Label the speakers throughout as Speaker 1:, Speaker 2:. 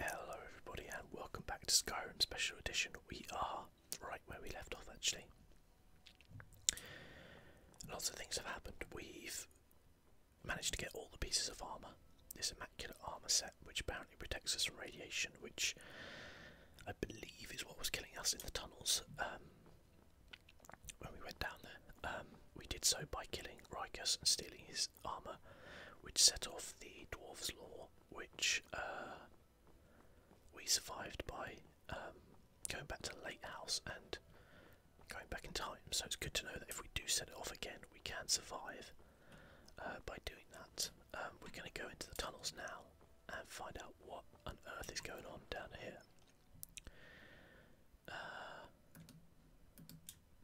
Speaker 1: Hello everybody and welcome back to Skyrim Special Edition. We are right where we left off actually. Lots of things have happened. We've managed to get all the pieces of armour. This immaculate armour set which apparently protects us from radiation which I believe is what was killing us in the tunnels um, when we went down there. Um, we did so by killing Rikus and stealing his armour, which set off the dwarves' law, which uh, we survived by um, going back to Late House and going back in time. So it's good to know that if we do set it off again, we can survive uh, by doing that. Um, we're going to go into the tunnels now and find out what on earth is going on down here. Uh,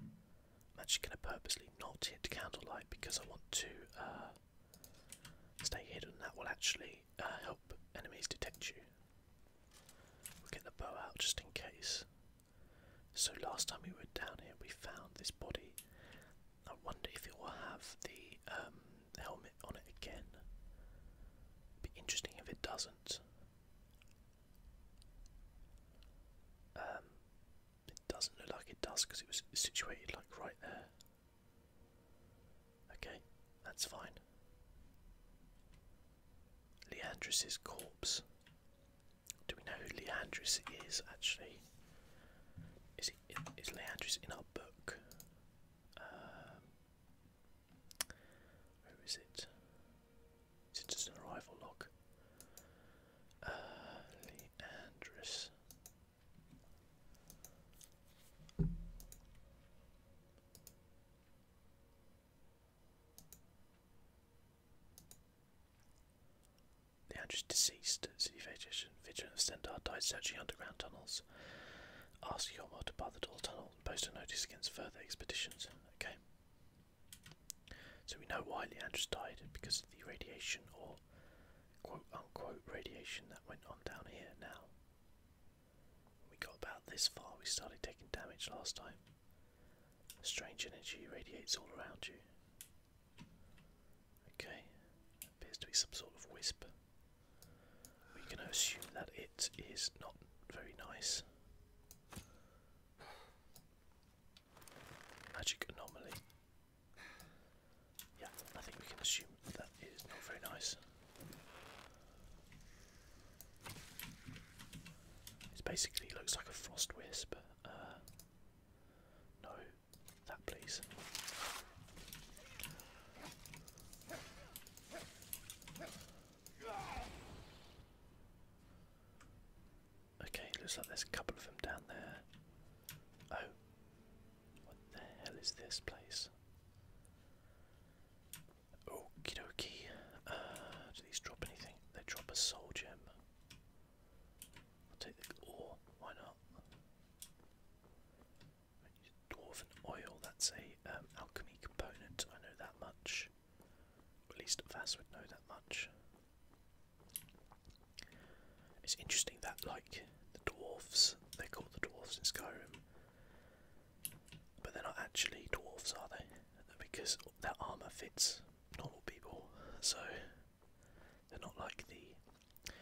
Speaker 1: I'm actually going to purposely not hit candlelight because I want to uh, stay hidden. That will actually uh, help enemies detect you. We'll get the bow out just in case. So last time we were down here, we found this body. I wonder if it will have the um, helmet on it again. Be interesting if it doesn't. Um, it doesn't look like it does because it was situated like right there. Okay, that's fine. Leandris's corpse. Do we know who Leandris is actually? Is he in, is Leandris in our book? Um, where is it? It's just an arrival log. Uh, Leandris. Leandris deceased. City vegetation. Vigilant of Stendar died searching underground tunnels. Ask your Yormor to bar the door tunnel and post a notice against further expeditions. Okay. So we know why Leandros died because of the radiation or quote unquote radiation that went on down here now. we got about this far, we started taking damage last time. Strange energy radiates all around you. Okay, appears to be some sort of wisp. we can assume that it is not very nice. Magic anomaly. Yeah, I think we can assume that is not very nice. It basically looks like a frost wisp. Uh, no, that please. Okay, looks like there's a couple of them down there. Oh, what the hell is this place? Okie dokie. Uh, do these drop anything? They drop a soul gem. I'll take the ore, why not? Dwarven oil, that's a um, alchemy component, I know that much at least Vass would know that much. It's interesting that, like, the dwarves, they call the dwarves in Skyrim, but they're not actually dwarves, are they? Because their armour fits normal people, so they're not like the,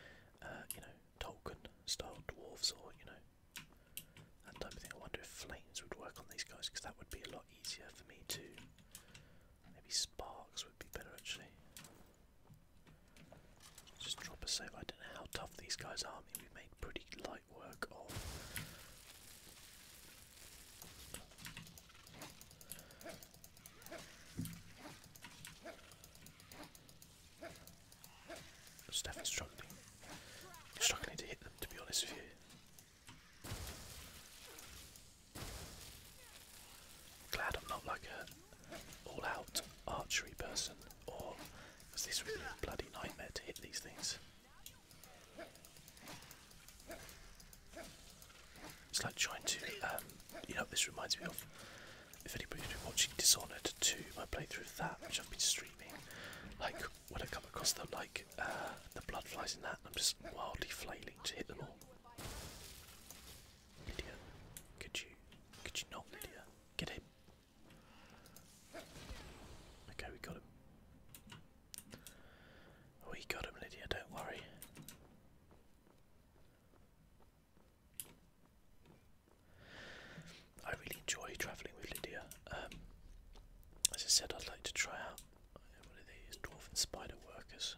Speaker 1: uh, you know, Tolkien style dwarves or, you know, that type of thing. I wonder if flames would work on these guys because that would be a lot easier for me to Maybe sparks would be better actually. Just drop a save. I don't know how tough these guys are. I mean, we made pretty light work of Steph struggling. Struggling to hit them to be honest with you. Glad I'm not like a all-out archery person, or because this would a bloody nightmare to hit these things. It's like trying to, um, you know, this reminds me of. If anybody's been watching Dishonored 2, my playthrough of that, which I've been streaming, like when I come across them, like the blood flies in that. I'm just wildly flailing to hit them all. Lydia, could you, could you not, Lydia? Get him. Okay, we got him. We got him, Lydia. Don't worry. I really enjoy travelling with Lydia. Um, as I said, I'd like to try out what are these? Dwarf spider workers.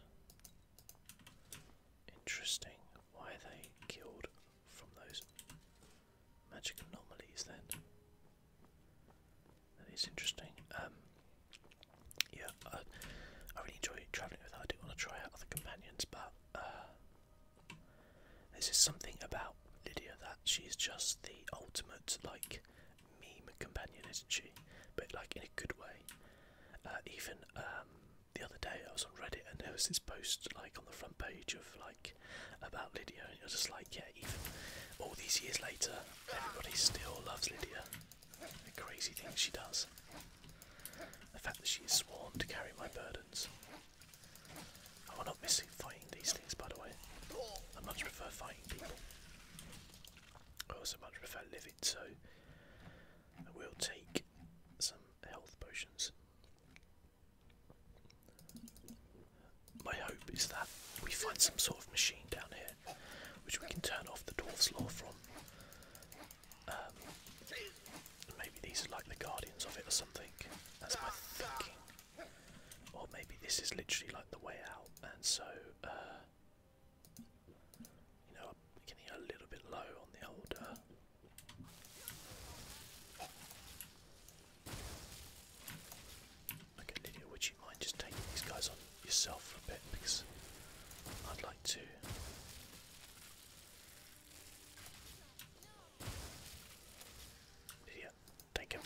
Speaker 1: Interesting. Why are they killed from those magic anomalies then? That is interesting. Um, yeah, I, really enjoy travelling with her. I do want to try out other companions, but uh, there's just something about Lydia that she's just the ultimate like meme companion, isn't she? But like in a good way. Uh, even um, the other day, I was on Reddit and there was this post like on the front page of like about Lydia, and it was just like, yeah, even all these years later, everybody still loves Lydia. The crazy things she does. The fact that she is sworn to carry my burdens. I will not miss fighting these things, by the way. I much prefer fighting people. I also much prefer living, so we will take some health potions. My hope is that we find some sort of machine down here which we can turn off the dwarf's law from. Um, maybe these are like the guardians of it or something. That's my thinking. Or maybe this is literally like the way out, and so uh, you know, I'm getting a little bit low on the old. Okay, Lydia, would you mind just taking these guys on yourself a bit? Because I'd like to. Lydia, take him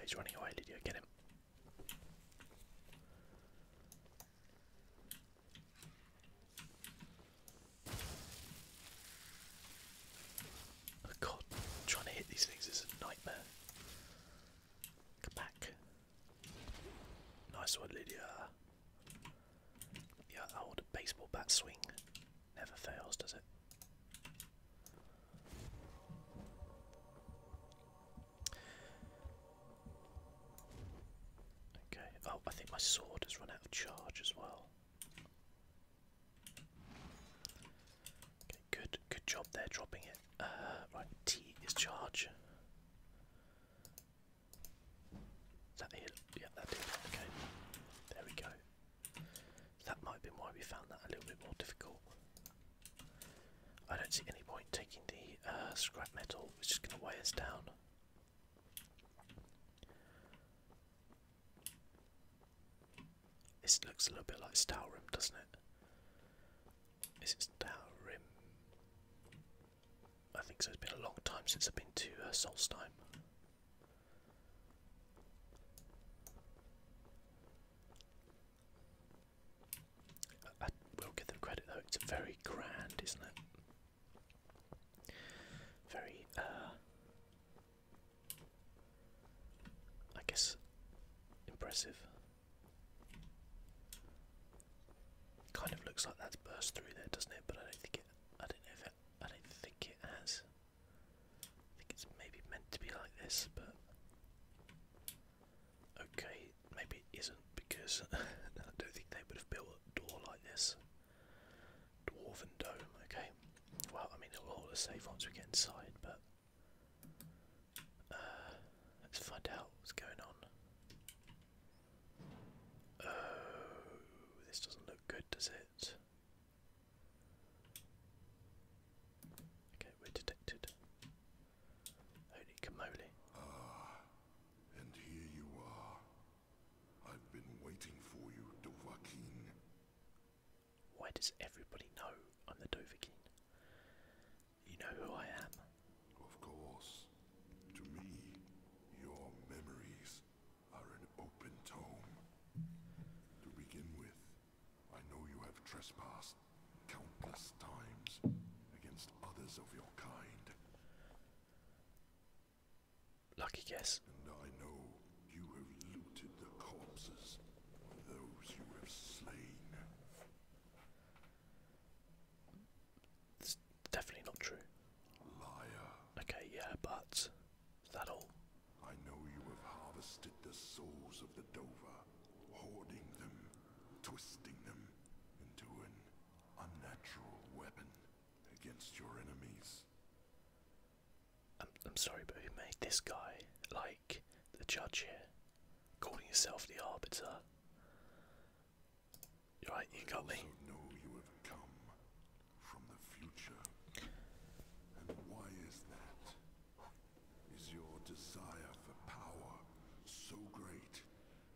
Speaker 1: he's running away, Lydia. Get him. Oh god, trying to hit these things is a nightmare. Come back. Nice one, Lydia. Yeah, old baseball bat swing. Never fails, does it? Okay. Oh, I think my sword has run out of charge as well. good, good job there, dropping it. Uh, right, T is charge. Is that the hit? that did. Okay, there we go. That might be why we found that a little bit more difficult. I don't see any point taking the uh, scrap metal, which is going to weigh us down. This looks a little bit like Stalrim, doesn't it? it? Is it Stalrim? I think so. It's been a long time since I've been to uh, Solstein. I will give them credit though, it's very grand, isn't it? Very, uh, I guess, impressive. Kind of looks like that burst through there, doesn't it? But I don't think it. I don't know if it. I don't think it has. I think it's maybe meant to be like this, but okay, maybe it isn't because I don't think they would have built a door like this. Dwarven dome, okay. Well, I mean, it'll all save once we get inside, but uh, let's find out what's going on. Oh, this doesn't look good, does it?
Speaker 2: Okay, we're detected. Holy camoli. Ah, and here you are. I've been waiting for you, Dovahkiin. Why does everybody know I'm the Dovahkiin? You know who I am. Of course. To me, your memories are an open tome. To begin with, I know you have trespassed countless times against others of your kind. Lucky guess. And I know you have looted the corpses of those you have slain. It's definitely not true. Liar. Okay, yeah, but that all? I know you have harvested the souls of the Dover, hoarding them, twisting them into an unnatural weapon against your enemies. I'm, sorry, but who made this guy, like, the judge here,
Speaker 1: calling himself the arbiter? right, you got me
Speaker 2: from the future. And why is that? Is your desire for power so great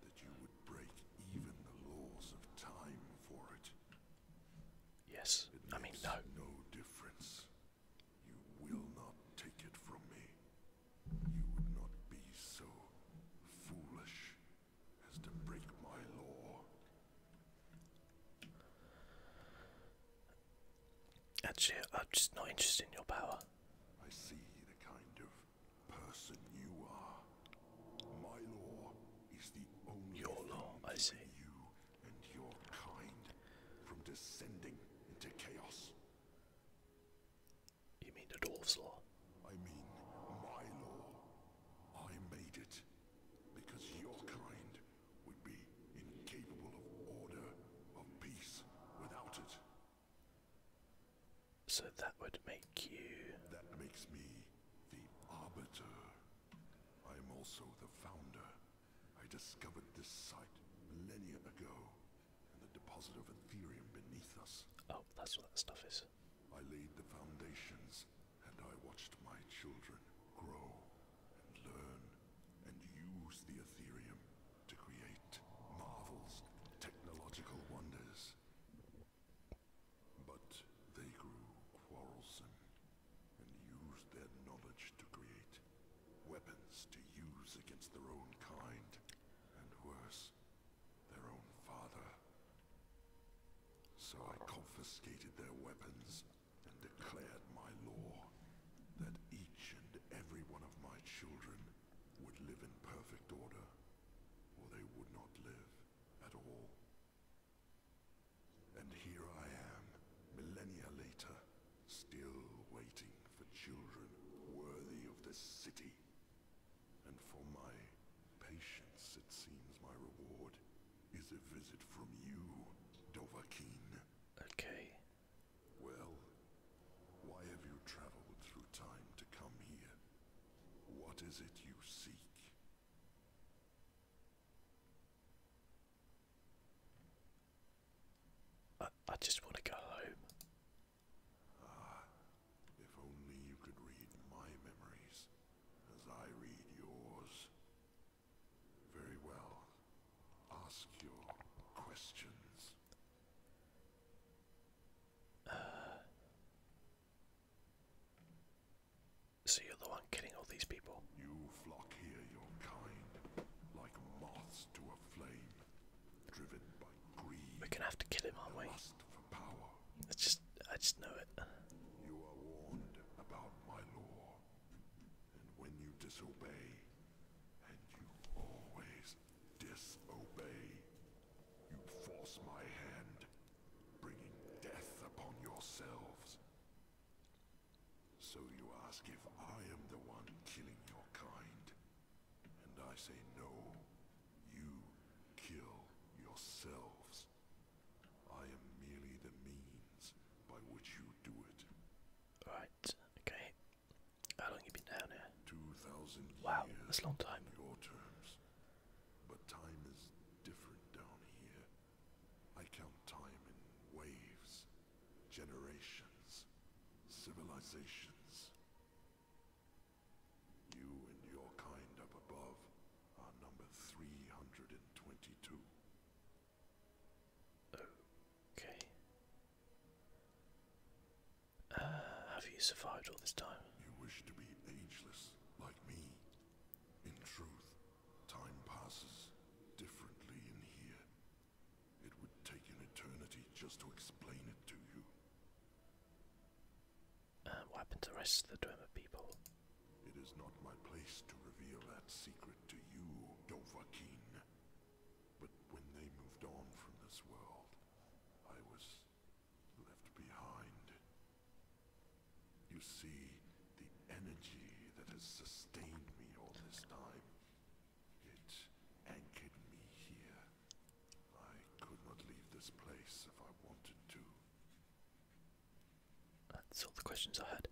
Speaker 2: that you would break even the laws of time for it? Yes, I mean, no. No difference. You will not take it from me. You would not be so foolish as to break my law. Actually, I'm just not interested in your power. I see the kind of person you are. My law is the only law. I see you and your kind from descending into chaos. You mean the dwarf's law? I mean my law. I made it because your kind so that would make you. That makes me the arbiter. I am also the founder. I discovered this site millennia ago, and the deposit of Ethereum beneath us. Oh, that's what that stuff is. I laid the foundations and I watched my children grow and learn and use the Ethereum to create marvels, technological wonders. But they grew quarrelsome and used their knowledge to create weapons to use against their own kind, and worse, their own father. So I confiscated their weapons and declared my law that each and every one of my children would live in perfect order, or they would not live at all. And here I am, millennia later, still waiting for children worthy of this city. And for my patience, it seems my reward is a visit from you, Dovahkiin. Okay. Well, why have you traveled through time to come here? What is it you seek? I, I just want to go home. Ah, if only you could read my memories as I read yours. Very well. Ask your questions. Uh, so you're the one killing all these people. We're gonna have to kill him, aren't we? It's just I just know it. You are warned about my law. And when you disobey, and you always disobey, you force my hand, bringing death upon yourselves. So you ask if I am the one killing your kind. And I say no. You kill yourselves. I am merely the means by which you do it. Right, okay. How long you been down here? Two thousand Wow, that's long time. your terms. But time is different down here. I count time in waves, generations, civilizations. You and your kind up above number 322. Okay.
Speaker 1: Uh, have you survived all this time?
Speaker 2: You wish to be ageless, like me. In truth, time passes differently in here. It would take an eternity just to explain it to you. Uh, what happened to the rest of the Dwemer people? It is not my place to reveal that secret to you, Dovahkiin. But when they moved on from this world, I was left behind. You see, the energy that has sustained me all this time, it anchored me here. I could not leave this place if I wanted to. That's all the questions I had.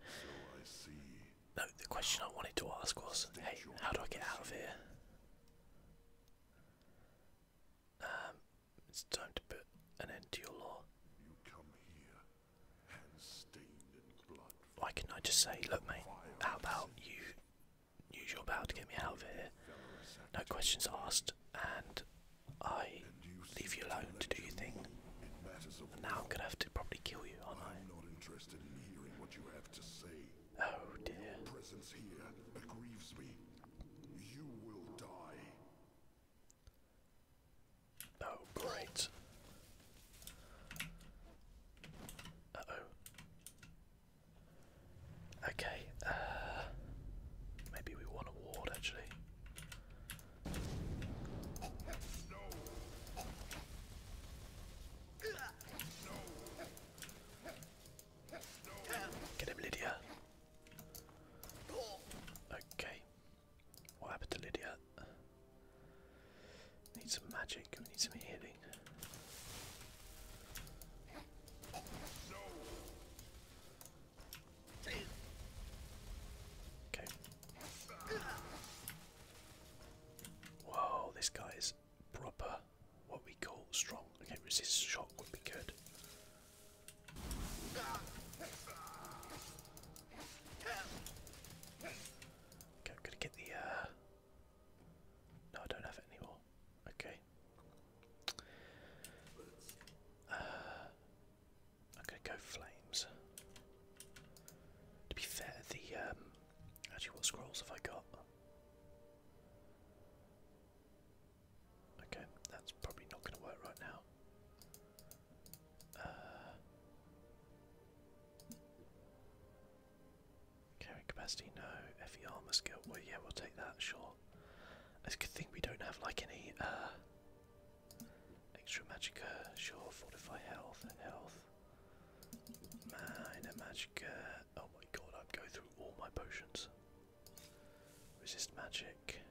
Speaker 1: No, the question I wanted to ask was, hey, how do I get out of here? Um, it's time to put an end to your law. Why can I just say, look, mate, how about you use your power to get me out of here? No questions asked, and I leave you alone to do your thing. And now
Speaker 2: I'm gonna have to probably kill you, aren't I? am not interested in hearing what you have to say. Oh dear. Your presence here aggrieves me. You will die. Oh great.
Speaker 1: Uh oh. Okay, maybe we want a ward actually. Get him, Lydia. Okay. What happened to Lydia? Need some magic. We need some healing. Okay. Whoa, this guy is proper what we call strong. Okay, resist shock would be good.
Speaker 3: Okay, i to get the uh, No, I don't have it anymore.
Speaker 1: Okay. Uh, I'm gonna go flames. To be fair, the um, actually, what scrolls have I got? Okay, that's probably not going to work right now. Uh, capacity, no. FE armor skill, well, yeah, we'll take that, sure. It's a good thing we don't have like any uh, Extra magic, sure, fortify health, health. Minor Magicka, oh my god, I'd go through all my potions. Resist magic.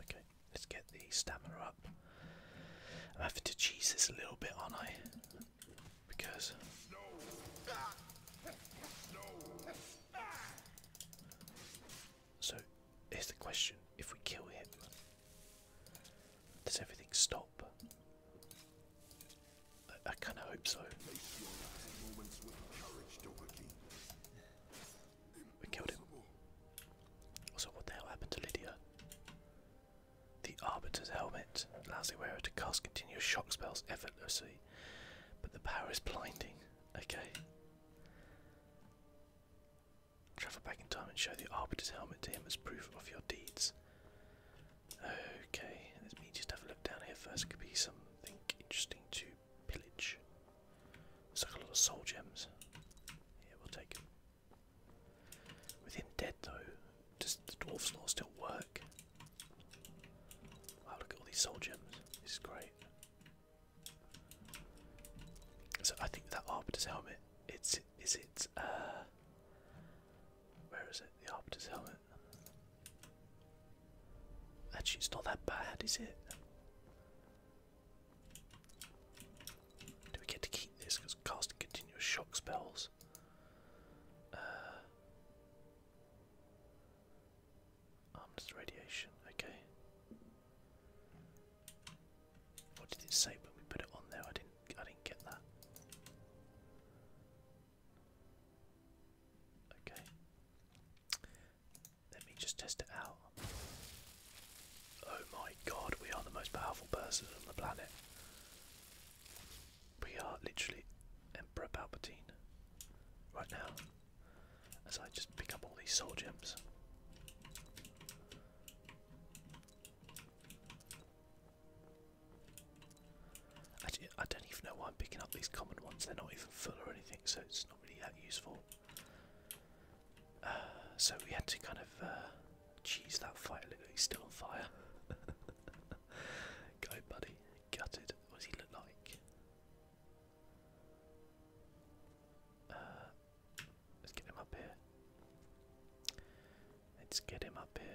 Speaker 1: Okay, let's get the stamina up. I'm having to cheese this a little bit, aren't I? because so is the question if we kill him does everything stop I, I kind of hope so we killed him also what the hell happened to Lydia the Arbiter's helmet allows the wearer to cast continuous shock spells effortlessly, but the power is blinding. Okay. Travel back in time and show the Arbiter's helmet to him as proof of your deeds. Okay, let me just have a look down here first. It Could be something interesting to pillage. Looks like a lot of soul gems. Yeah, we'll take With him dead though, does the dwarf's law still work? Wow, look at all these soul This is great. So I think that Arbiter's helmet, it's is it uh, where is it? The Arbiter's helmet. Actually it's not that bad, is it? Do we get to keep this? Because casting continuous shock spells. Uh, armless radiation, okay. What did it say when we put it on there? I didn't I didn't get that. Okay. Let me just test it out. Oh my god, we are the most powerful person on the planet. We are literally Emperor Palpatine right now as I just pick up all these soul gems. Actually, I don't even know why I'm picking up these common ones, they're not even full or anything, so it's not really that useful. Uh, so we had to kind of uh, cheese that fire, a little bit. he's still on fire. Go, buddy. Gutted. What does he look like? Uh, let's get him up here. Let's get him up here.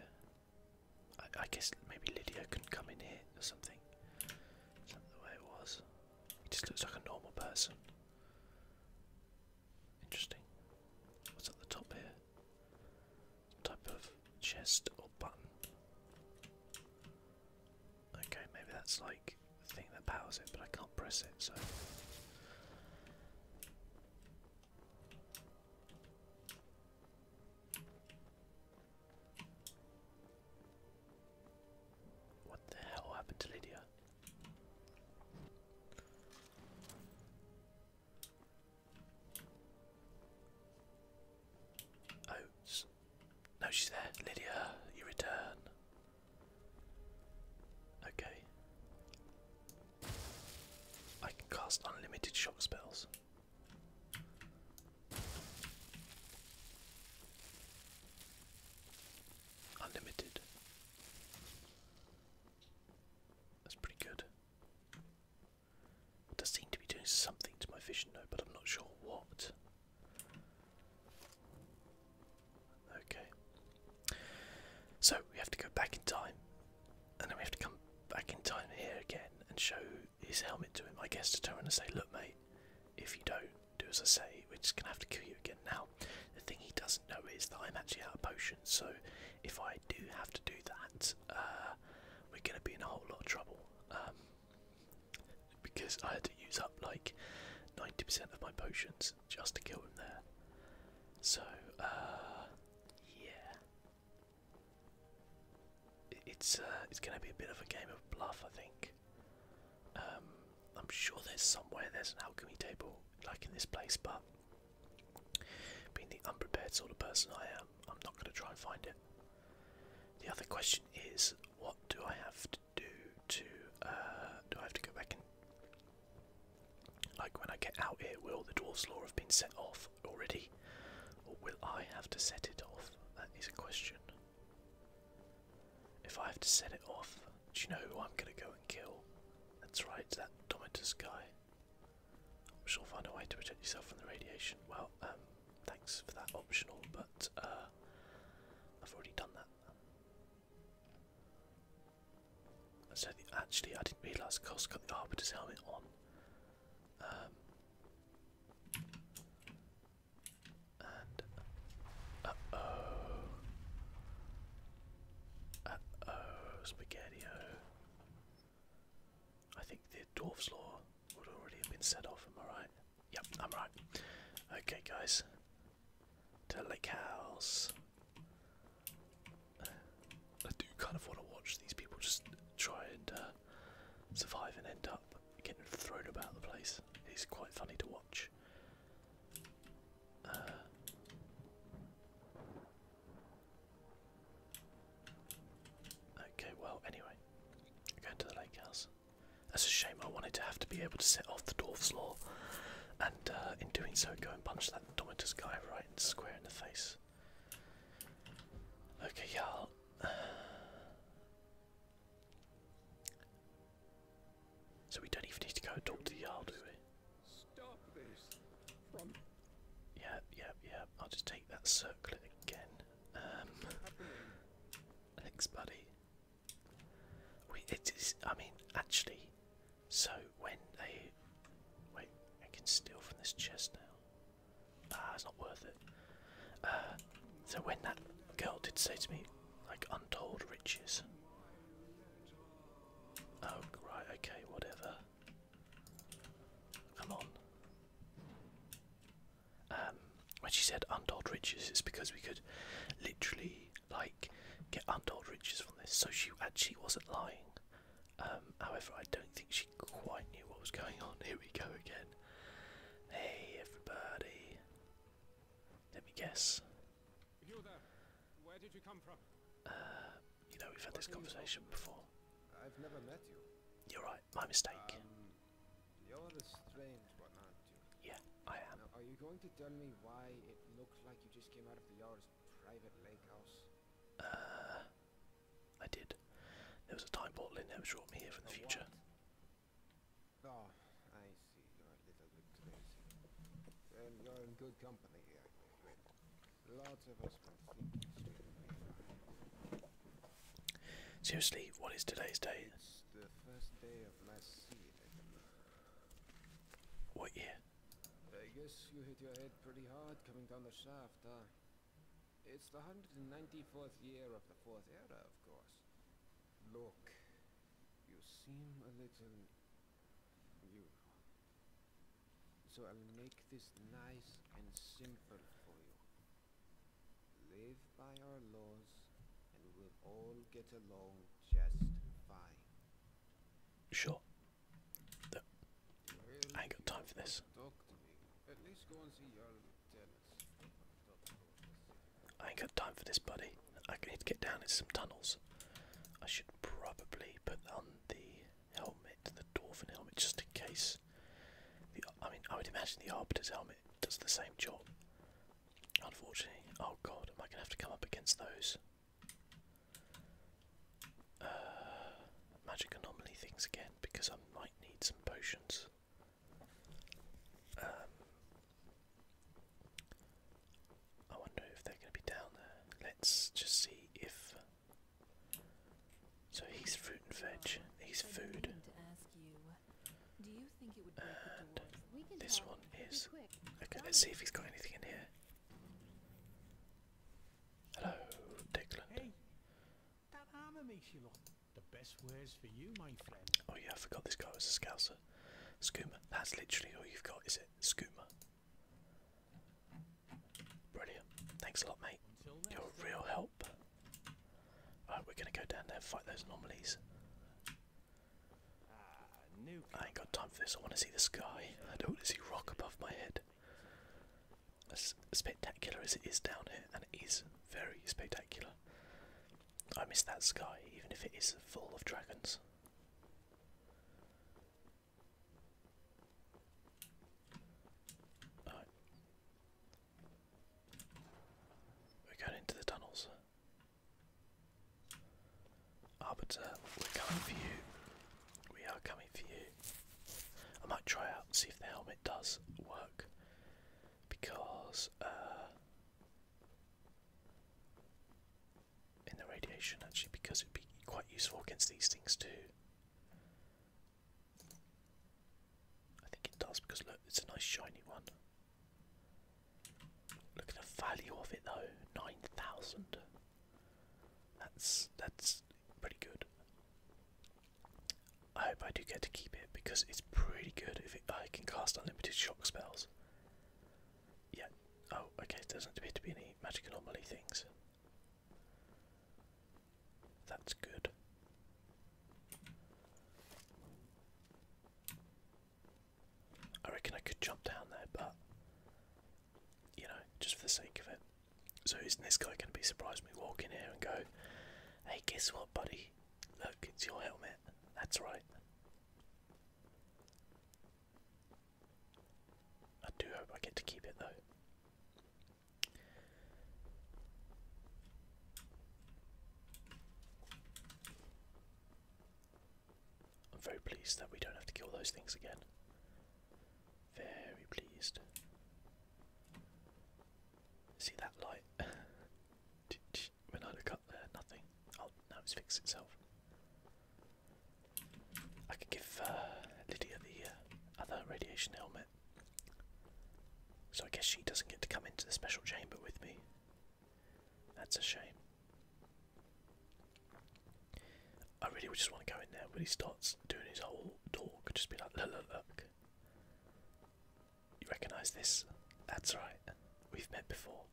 Speaker 1: I, guess maybe Lydia can come in here or something. Is that the way it was? He just looks like a normal person. Interesting. What's at the top here? type of chest or button. Okay, maybe that's like the thing that powers it, but I can't press it, so. What the hell happened to Lydia? Oats. No, she's there. Lydia, you return. Okay. I can cast unlimited shock spells. Unlimited. That's pretty good. It does seem to be doing something to my vision though, but I'm not sure what. Okay. So we have to go back in time, and then we have to come back in time here again and show his helmet to him, I guess, to turn and say, look mate, if you don't do as I say, we're just gonna have to kill you again now. The thing he doesn't know is that I'm actually out of potions, so if I do have to do that, uh, we're going to be in a whole lot of trouble. Um, because I had to use up like 90% of my potions just to kill him there. So, uh, yeah. It's, uh, it's going to be a bit of a game of bluff, I think. Um, I'm sure there's somewhere there's an alchemy table like in this place, but being the unprepared sort of person I am, I'm not going to try and find
Speaker 3: it. The
Speaker 1: other question is, what do I have to do to? Uh, do I have to go back and? Like when I get out here, will the dwarf's law have been set off already, or will I have to set it off? That is a question. If I have to set it off, do you know who I'm going to go and kill? That's right, that Domitus guy. I'm sure find a way to protect yourself from the radiation. Well, um, thanks for that optional, but uh, I've already done that. So actually, I didn't realise Cos got the Arbiter's helmet on. Um, and oh, oh, spaghetti I think the dwarf's law would already have been set off, am I right? Yep, I'm right. Okay guys. To Lake House. I do kind of want to watch these people just try and uh, survive and end up getting thrown about the place. It's quite funny to watch. Uh, Okay, well, anyway, going to the lake house. That's a shame. I wanted to have to be able to set off the dwarf's law, and uh, in doing so, go and punch that Domitus guy right square in the face. Okay, yeah. i So we don't even need to go and talk to the Jarl, do we? Stop this from Yeah, yeah, yeah. I'll just take that circlet again. Um Thanks, buddy. We it is I mean, actually, so when they wait, I can steal from this chest now. Ah, it's not worth it. Uh so when that girl did say to me, like untold riches. Oh right, okay, whatever. Come on. Um, when she said untold riches, it's because we could literally like get untold riches from this. So she actually wasn't lying. Um, however, I don't think she quite knew what was going on. Here we go again. Hey, everybody. Let me guess. You know, we've had this conversation before.
Speaker 3: I've never met you.
Speaker 1: You're right, my mistake.
Speaker 3: Um, you're strange one, not you? Yeah, I am. are you going to tell me why it looked like you just came out of the yard's private lake house? Uh, I did. There was a
Speaker 1: time portal in there which brought me here from the future. What?
Speaker 3: Oh, I see. you're in good company here.
Speaker 1: Seriously, what is today's date? What year?
Speaker 3: I guess you hit your head pretty hard coming down the shaft, huh? It's the 194th year of the Fourth Era, of course. Look, you seem a little... So I'll make this nice and simple for you. Live by our laws, and we'll all get along just fine. Sure. I ain't got time for this. I
Speaker 1: ain't got time for this, buddy. I need to get down into some tunnels. I should probably put on the helmet, the Dwarven helmet, just in case. I mean, I would imagine the Arbiter's helmet does the same job. Unfortunately, oh god, am I gonna have to come up against those uh, magic anomaly things again? Because I might need some potions. Um, I wonder if they're going to be down there. Let's just see if so he's fruit and veg. He's food.
Speaker 3: this one is.
Speaker 1: Okay, let's see if he's got anything in here. Hello, Declan. Oh yeah, I forgot this guy was a scouser. Skooma. That's literally all you've got, is it? Skooma. Brilliant. Thanks a lot, mate. you real help. Right, we're gonna go down there fight those anomalies. I ain't got time for this. I want to see the sky. I don't want to see rock above my head. As spectacular as it is down here, and it is very spectacular. I miss that sky, even if it is full of dragons. Oh. We're going into the tunnels. Arbiter, we're coming for you. We are coming for you. I might try out and see if the helmet does work. Because uh, in the radiation actually because it would be quite useful against these things too. I think it does because look, it's a nice shiny one. Look at the value of it though, 9,000. That's, that's pretty good. I hope I do get to keep it because it's pretty good if I can cast unlimited shock spells. Yeah, oh okay, there doesn't appear to be any magic anomaly things. That's good. I reckon I could jump down there, but you know, just for the sake of it. So isn't this guy gonna be surprised me walk in here and go, Hey guess what buddy? Look, it's your helmet. That's right. I do hope I get to keep it though. I'm very pleased that we don't have to kill those things again. Very pleased. See that light? when I look up there, nothing. Oh, now it's fixed itself. I could give uh, Lydia the uh, other radiation helmet. So I guess she doesn't get to come into the special chamber with me. That's a shame. I really would just want to go in there when he starts doing his whole talk, just be like, look, look, look. You recognise this? That's right. We've met before.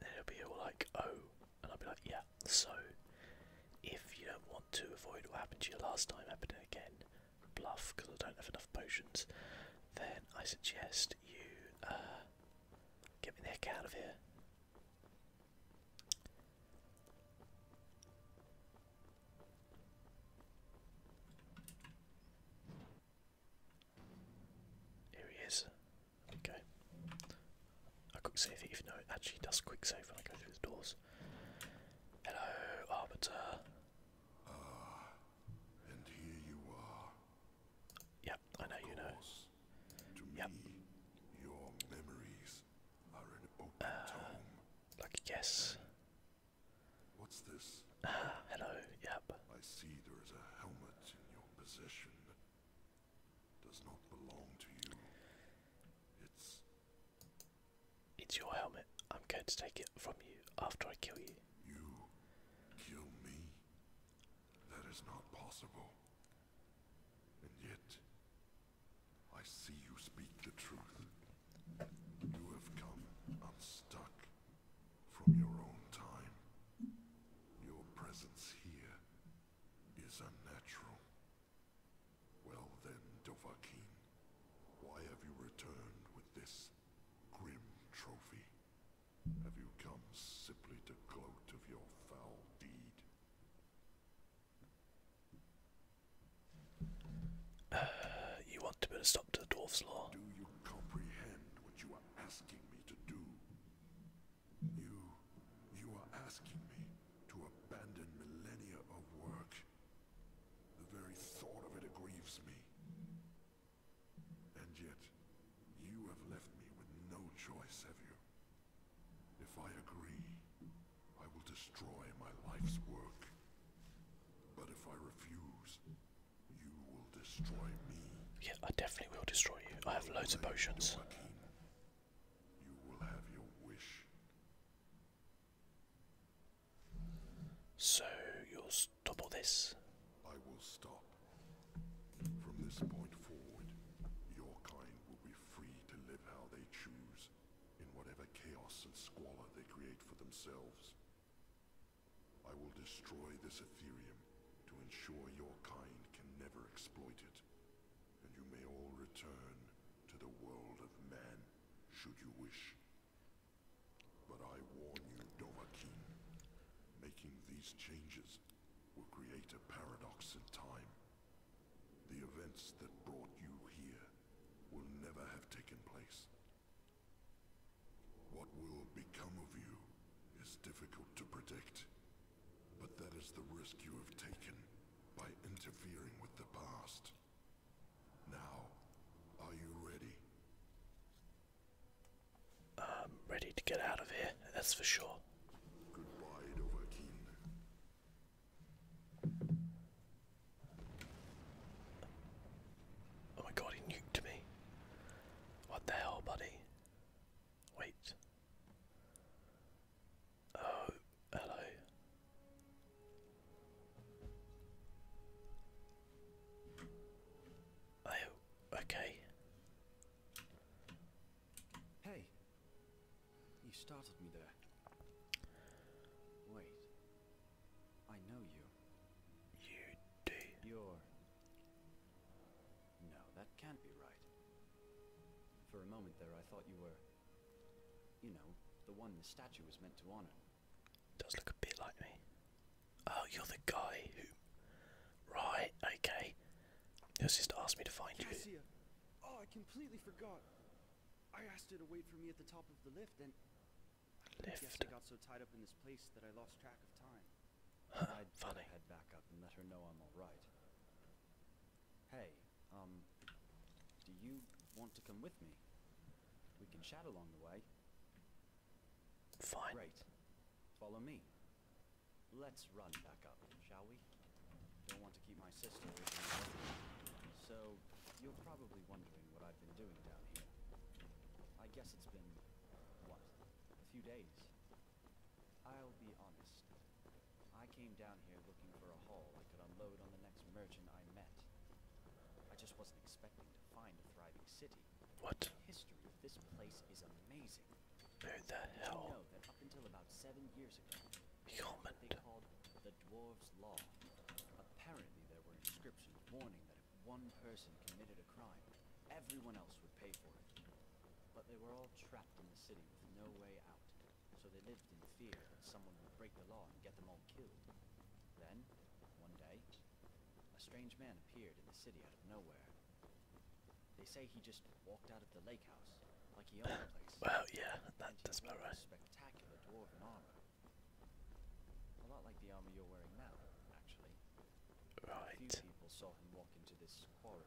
Speaker 1: And it'll be all like, oh, and I'll be like, yeah, so if you don't want to avoid what happened to you last time happening again, bluff, because I don't have enough potions, then I suggest you uh, get me the heck out of here. Here he is. Okay. I quick save it even actually does quick save when I go through the doors. Hello, Arbiter. Ah, and here you are. Yep, I know you know. yep.
Speaker 2: Ah, like a What's this? Ah, hello, yep. I see there is a helmet in your possession. It's It's your helmet. I'm going to take it from you after I kill you. You kill me? That is not possible. And yet I see you speak the truth. You have come unstuck from your own time. Your presence here is unnatural. Well then, Dovahkiin, why have you returned with this grim trophy? Have you come simply to gloat of your foul deed? you want to put a stop to the Dwarf's Law? Do you comprehend what you are asking me to do? You... you are asking me to abandon millennia of work. The very thought of it aggrieves me. And yet, you have left me with no choice, have you? If I agree, I will destroy my life's work. But if I
Speaker 1: refuse, you will destroy me. Yeah, I definitely will destroy you. I have loads of potions. So you'll stop all this? I will
Speaker 2: stop. From this point forward, your kind will be free to live how they choose, in whatever chaos and squalor they create for themselves. I will destroy this etherium to ensure your kind can never exploit it and you may all return to the world of man, should you wish. But I warn you, Dovahkiin, making these changes will create a paradox in time. The events that brought you here will never have taken place. What will become of you is difficult to predict. But that is the risk you have taken by interfering with the past. Now, are you ready? I'm ready to get out of here, that's for sure. Goodbye, Dovahkiin.
Speaker 1: Oh my god, he nuked me. What the hell, buddy? Wait. Oh, hello.
Speaker 4: Oh, okay. Hey, you started me there. Wait, I know you. You do. You're no, that can't be right. For a moment there, I thought you were, you know, the one the statue was meant to honor. Does look a bit like me.
Speaker 1: Oh, you're the guy who. Right, okay. Your sister asked me to find you.
Speaker 4: Oh, I completely forgot. I asked her to wait for me at the top of the lift, and I guess I got so tied up in this place that I lost track of time. Huh, I'd funny. head back up and let her know I'm all right. Hey, um, do you want to come with me? We can chat along the way. Fine. Great. Follow me. Let's run back up, shall we? Don't want to keep my sister So, you're probably wondering what I've been doing down here. I guess it's been, what, a few days. I'll be honest. I came down here looking for a haul I could unload on the next merchant I met. I just wasn't expecting to find a thriving city. What? history of this place is amazing. Where the hell? You know that up until about seven years ago, what they called the Dwarves' Law. Apparently there were inscriptions warning that if one person committed a crime, everyone else would pay for it. But they were all trapped in the city with no way out, so they lived in fear that someone would break the law and get them all killed. Then, one day, a strange man appeared in the city out of nowhere. They say he just walked out of the lake house, like he owned the place. well, yeah, that does about right. Spectacular dwarven armor. A lot like the armor you're wearing now, actually. Right. few people saw him walk into this quarry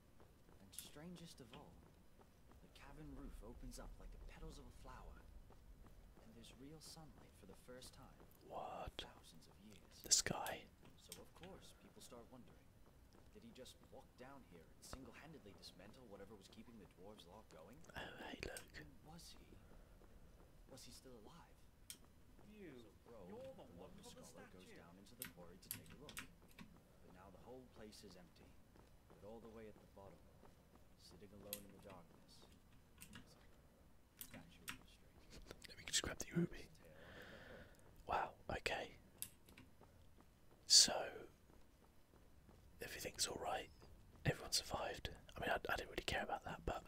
Speaker 4: And strangest of all, the cavern roof opens up like the petals of a flower. And there's real sunlight for the first time. What? Thousands of So of course people start wondering. Did he just walk down here and single-handedly dismantle whatever was keeping the dwarves' law going? Oh, hey, look. And was he? Was he still alive? You, you're the one scholar the goes down into the quarry to take a look. But now the whole place is empty. But all the way at the bottom, sitting alone in the darkness,
Speaker 1: just grab the ruby. Wow, okay. So, everything's alright. Everyone survived. I mean, I, didn't really care about that, but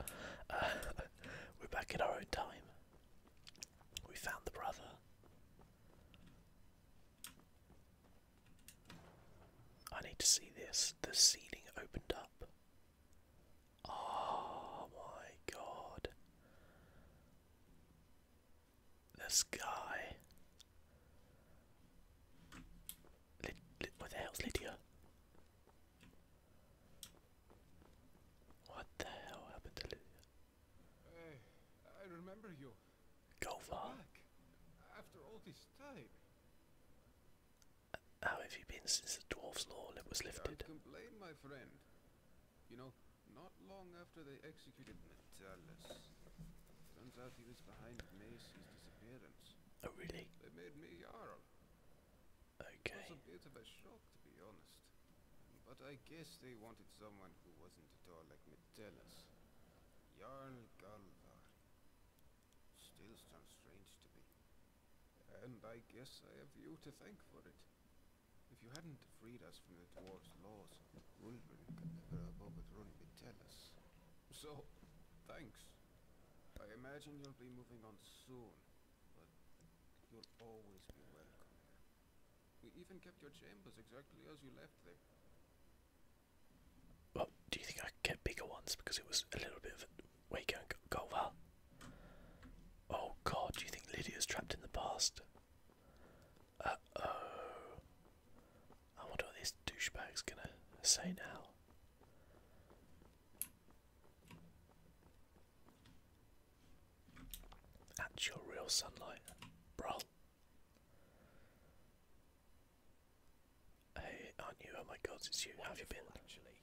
Speaker 1: uh, we're back in our own time. We found the brother. I need to see this. The ceiling opened up. Oh my god. The sky. Lid, Lid, where the Lydia?
Speaker 3: What the hell happened to Lydia? Hey, I remember you. Go far. After all this time. How have you
Speaker 1: been since the dwarf's law was
Speaker 3: lifted? Don't complain, my friend. You know, not long after they executed Metellus, turns out he was behind Macy's disappearance. Oh, really? They made me Jarl. Okay. It was a bit of a shock, to be honest. But I guess they wanted someone who wasn't at all like me. Metellus, Jarl Galvar. Still sounds strange to me. And I guess I have you to thank for it. If you hadn't freed us from the dwarves' laws, Ulverin could never have overthrown Metellus. So, thanks. I imagine you'll be moving on soon, but you'll always be welcome. We even kept your chambers exactly as you left them.
Speaker 1: Well, do you think I get bigger ones because it was a little bit of a way going Golvar? Oh god, do you think Lydia's trapped in the past? Uh oh. I wonder what this douchebag's gonna say now. Actual real sunlight, bruh. Hey, aren't you? Oh my god, it's you. have you been? Actually,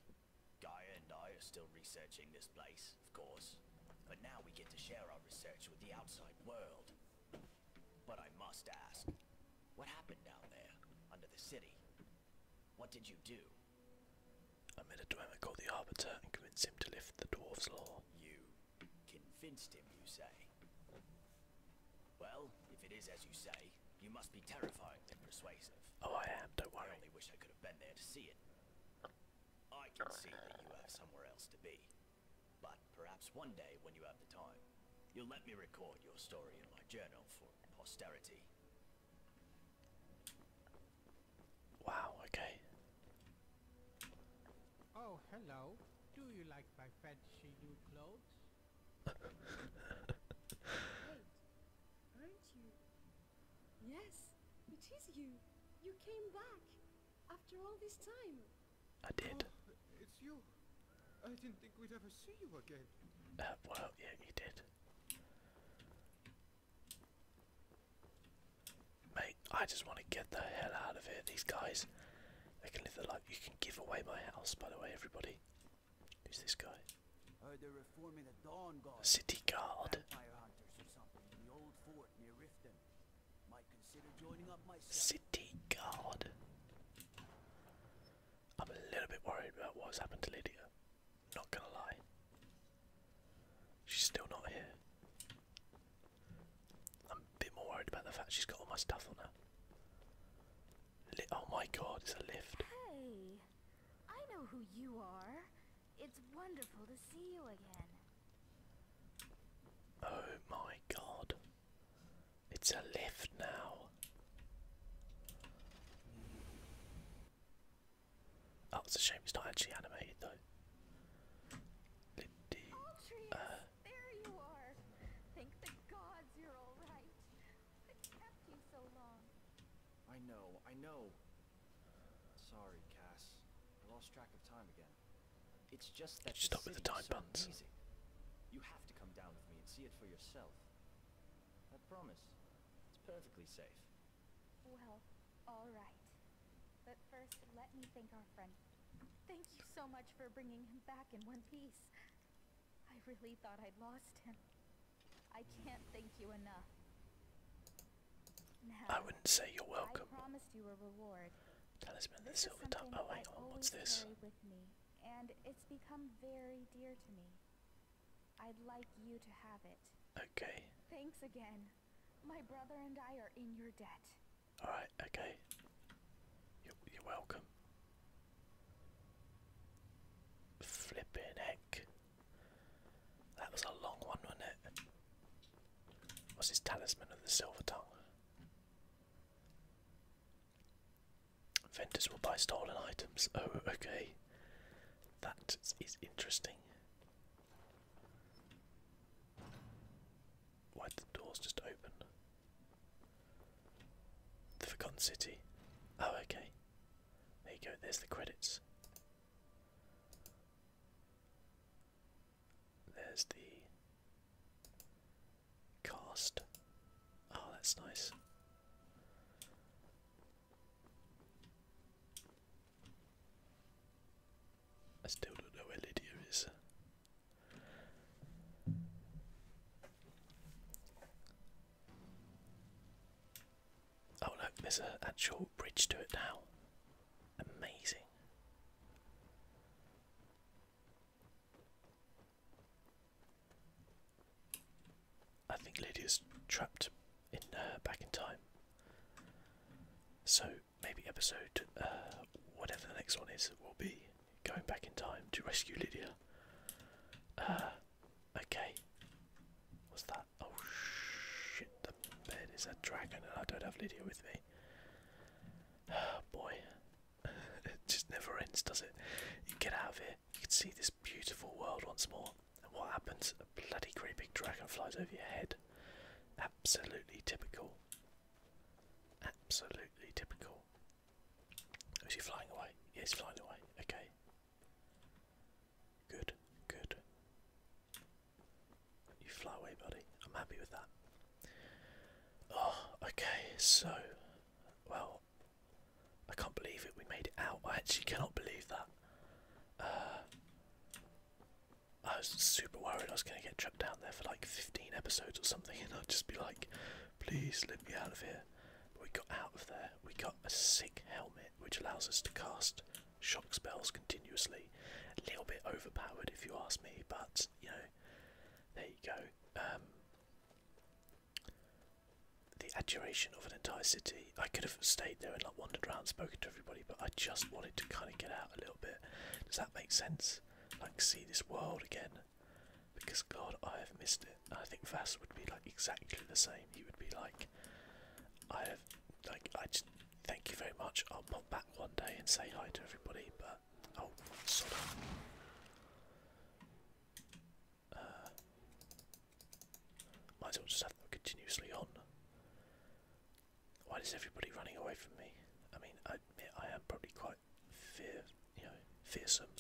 Speaker 4: Gaia and I are still researching this place, of course. But now we get to share our research with the outside world. But I must ask, what happened
Speaker 1: down there, under the city? What did you do? I made a dwemer called the Arbiter and convinced him to lift the dwarf's law. Convinced him, you say? Well, if it is as you say, you must be terrifyingly
Speaker 4: persuasive. Oh, I am, do I only wish I could have been there to see it. I can see that you have somewhere else to be. But perhaps one day, when you have the time, you'll let me record your story in my journal for posterity.
Speaker 1: Wow, okay.
Speaker 3: Oh, hello. Do you like my fancy new clothes? Wait, aren't you? Yes, it is you. You came back after all this time. I did. Oh, it's you. I didn't think we'd ever see you again.
Speaker 1: Uh, well, yeah, you did. Mate, I just want to get the hell out of here. These guys, they can live their life. You can give away my house, by the way, everybody. Who's this guy?
Speaker 4: City Guard. City Guard. I'm a little bit worried
Speaker 1: about what's happened to Lydia. Not gonna lie. She's still not here. I'm a bit more worried about the fact she's got all my stuff on her. oh my god, it's a lift.
Speaker 3: Hey, I know who you are. It's wonderful to see you again.
Speaker 1: Oh my god. It's a lift now. Oh, it's a shame it's not actually animated though.
Speaker 3: Uh, there you are. Thank the gods you're all right. I kept you so long.
Speaker 4: I know, I know. Sorry, Cass. I lost track of time again. It's just that Stop with the time so You have to come down with me and see it for yourself. I promise. It's perfectly safe.
Speaker 2: Well, all right. But first, let me thank our friend Thank you so much for bringing him back in one piece. I really thought I'd lost him. I can't thank you enough.
Speaker 3: I wouldn't say you're welcome. I promised you a reward. Talisman the silver tongue. Oh, hang on, oh, what's this? and it's become very dear to me. I'd like you to have it. Okay. Thanks again. My brother and I are in your debt.
Speaker 1: Alright, okay. You're, you're welcome. Flipping heck. That was a long one, wasn't it? What's his talisman of the silver tongue? Vendors will buy stolen items. Oh, okay. That is interesting. Why did the doors just open? The Forgotten City. Oh, okay. There you go, there's the credits. There's the cast. Oh, that's nice. I still don't know where Lydia is. Oh look, there's an actual bridge to it now. Amazing. I think Lydia's trapped in back in time. So maybe episode, uh, whatever the next one is, will be going back in time to rescue Lydia. Uh, okay. What's that? Oh shit, the bed is a dragon and I don't have Lydia with me. Oh boy. it just never ends, does it? You get out of here, you can see this beautiful world once more. And what happens? A bloody great big dragon flies over your head absolutely typical. Absolutely typical. Oh, is he flying away? Yeah, he's flying away. Okay. Good, good. You fly away, buddy. I'm happy with that. Oh, okay, so. Well, I can't believe it. We made it out. I actually cannot believe that. Uh, I was super worried I was going to get chucked down there for like 15 episodes or something, and I'd just be like, please let me out of here. we got out of there. We got a sick helmet, which allows us to cast shock spells continuously. A little bit overpowered, if you ask me, but you know, there you go. Um, the adjuration of an entire city. I could have stayed there and like wandered around, spoken to everybody, but I just wanted to kind of get out a little does that make sense? Like see this world again. Because God, I have missed it. I think Vass would be like exactly the same. He would be like, I have, like, I just thank you very much. I'll pop back one day and say hi to everybody. But I'll sort of might as well just have them continuously on. Why is everybody running away from me? I mean, I admit I am probably quite fear, you know, fearsome.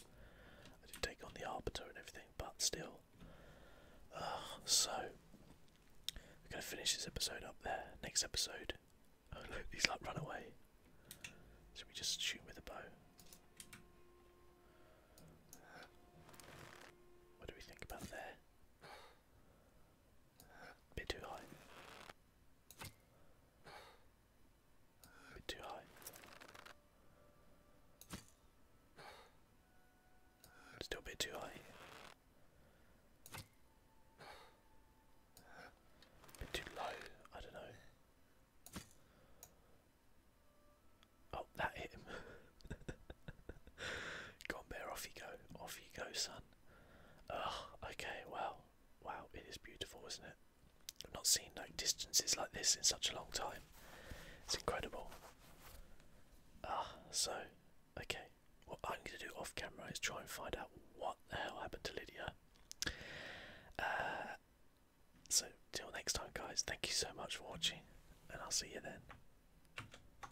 Speaker 1: I did take on the Arbiter and everything, but still. Uh, so, we're going to finish this episode up there. Next episode. Oh look, he's like run away. Should we just shoot with a bow? What do we think about there? Bit too high. Bit too high. Still bit too high. Bit too low, I don't know. Oh, that hit him. Go on, off you go. Off you go, son okay, well, wow, it is beautiful, isn't it? I've not seen like distances like this in such a long time. It's incredible. Ah, so, okay, what I'm going to do off camera is try and find out what the hell happened to Lydia. Uh, so, till next time, guys, thank you so much for watching, and I'll see you then.